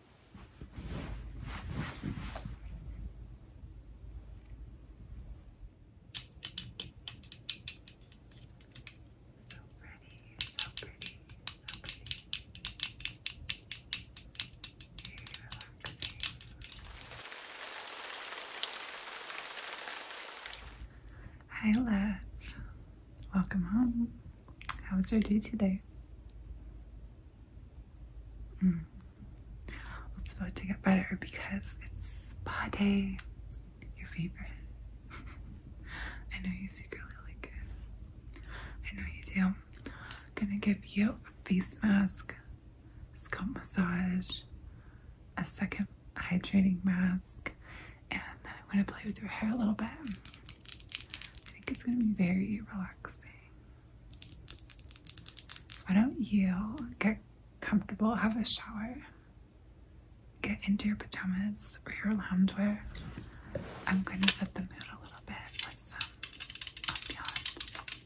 so pretty, so pretty. Very relaxing. Hi, love. Welcome home. How was your day today? Mm. It's about to get better because it's spa day. Your favorite. I know you secretly like it. I know you do. I'm gonna give you a face mask, scalp massage, a second hydrating mask, and then I'm gonna play with your hair a little bit. I think it's gonna be very relaxing. So why don't you get comfortable, have a shower, get into your pajamas or your loungewear. I'm gonna set the mood a little bit with some ambiance.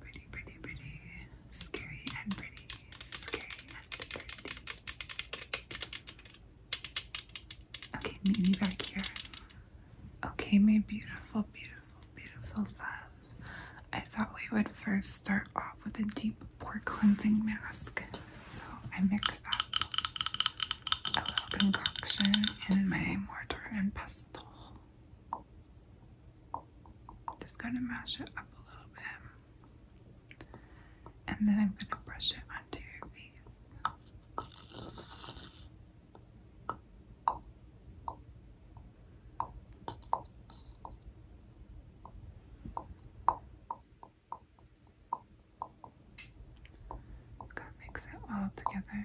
Pretty, pretty, pretty. Scary and pretty. Scary Okay, meet me back here. Okay, my beautiful, beautiful, beautiful love. I thought we would first start off with a deep pore cleansing mask. So I mixed up a little concoction in my mortar and pestle. Just gonna mash it up a little bit. And then I'm going to brush it onto your face. Gotta mix it all together.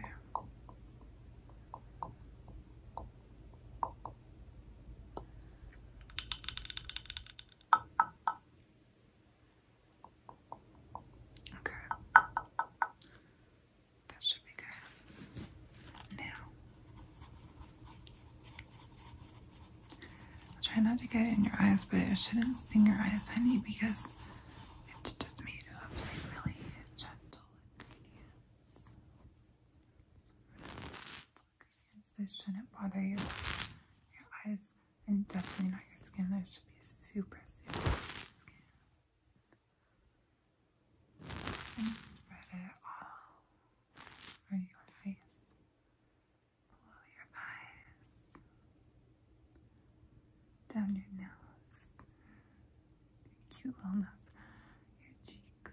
Okay. That should be good. Now, I'll try not to get it in your eyes, but it shouldn't sting your eyes, honey, because it's just made of some really gentle ingredients. This shouldn't bother your, your eyes and definitely not your skin. That should be super, super skin. And spread it all over your face, below your eyes, down your nose, your cute little nose, your cheeks,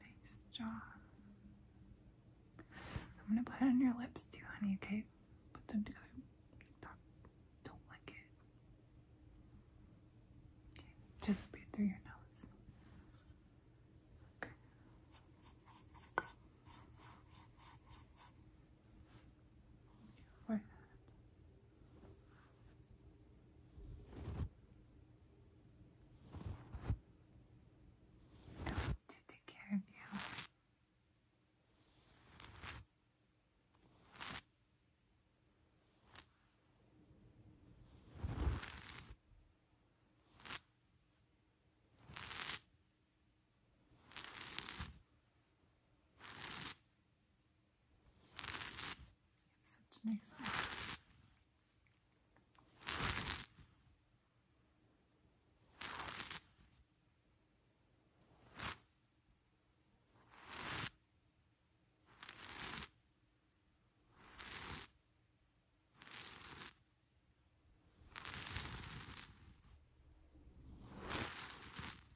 nice jaw. I'm gonna put it on your lips too, honey, okay? Put them together. Don't, do it. Okay, just breathe through your nose. Okay. Forehead. I want to take care of you. Such nice eyes. Very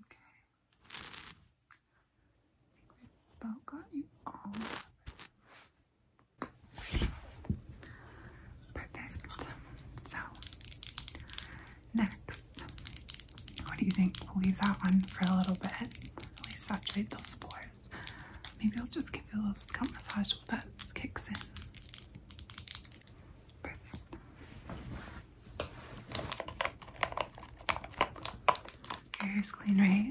Okay. I think we about got you all. Perfect. So, next, what do you think? We'll leave that one for a little bit, really saturate those pores. Maybe I'll just give you a little scalp massage much that kicks in. Perfect. Your clean, right?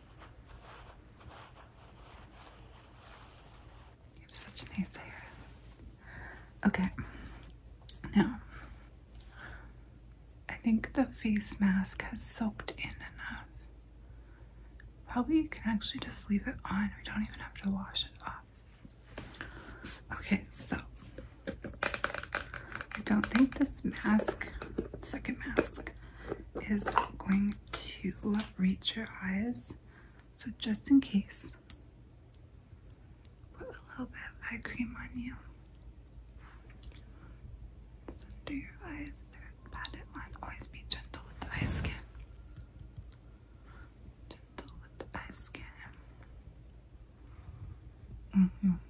You have such nice hair. Okay. Now, I think the face mask has soaked in enough. Probably you can actually just leave it on. We don't even have to wash it off. Okay, so I don't think this mask, second mask, is going to reach your eyes. So, just in case, put a little bit of eye cream on you. under your eyes, pat it on. Always be gentle with the eye skin. Gentle with the eye skin. Mm -hmm.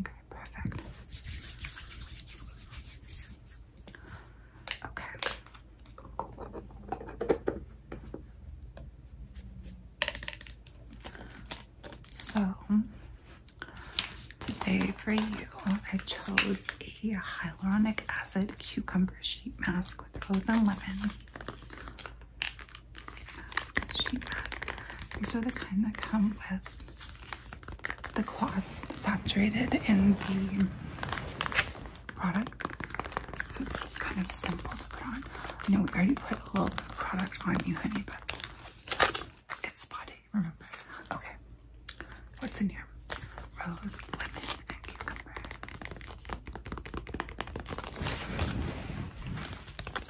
Okay, perfect. Okay. So today for you, I chose a hyaluronic acid cucumber sheet mask with rose and lemon. sheet mask. These are the kind that come with the cloth saturated in the product. So it's kind of simple to put on. I know we already put a little product on you, honey, but it's spotty, remember? Okay. What's in here? Rose, lemon, and cucumber.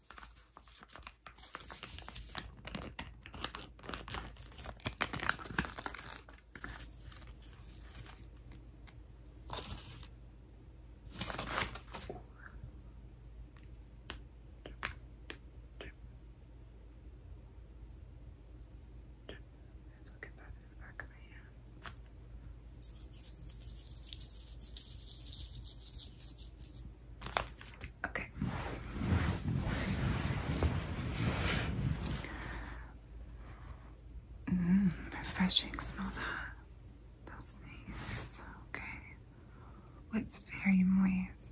Let's look at that in the back of my hands. Okay. Mmm, refreshing. Smell that. That's nice. Okay. it's very moist.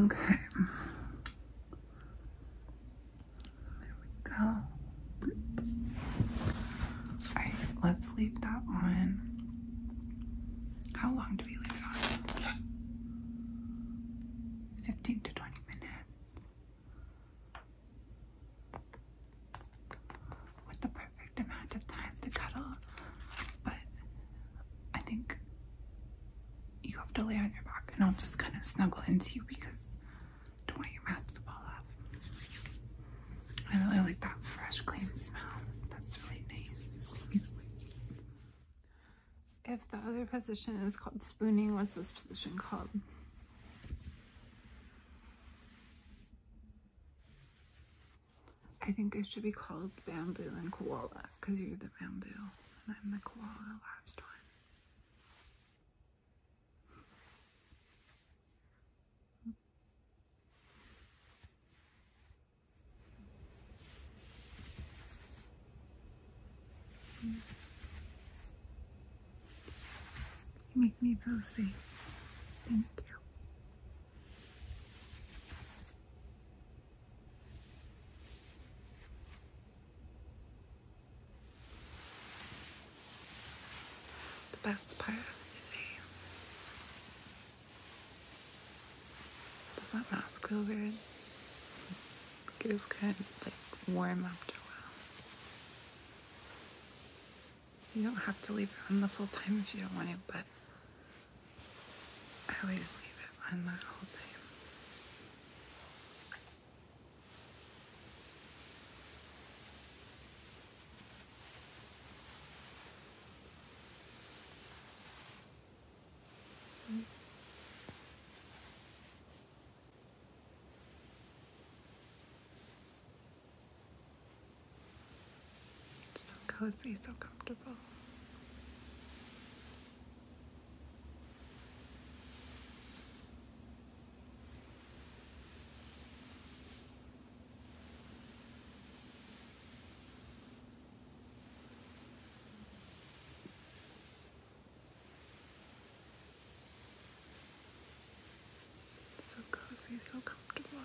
Okay. There we go. Alright, let's leave that on. How long 15 to 20 minutes with the perfect amount of time to cuddle, but I think you have to lay on your back and I'll just kind of snuggle into you because I don't want your mask to fall off. I really like that fresh, clean smell. That's really nice. If the other position is called spooning, what's this position called? I think it should be called bamboo and koala because you're the bamboo and I'm the koala last one. You make me feel safe. Thank you. The best part of the day does that mask feel good? It was like warm after a while. You don't have to leave it on the full time if you don't want it, but I always leave it on the whole time so cozy, so comfortable. So cozy, so comfortable.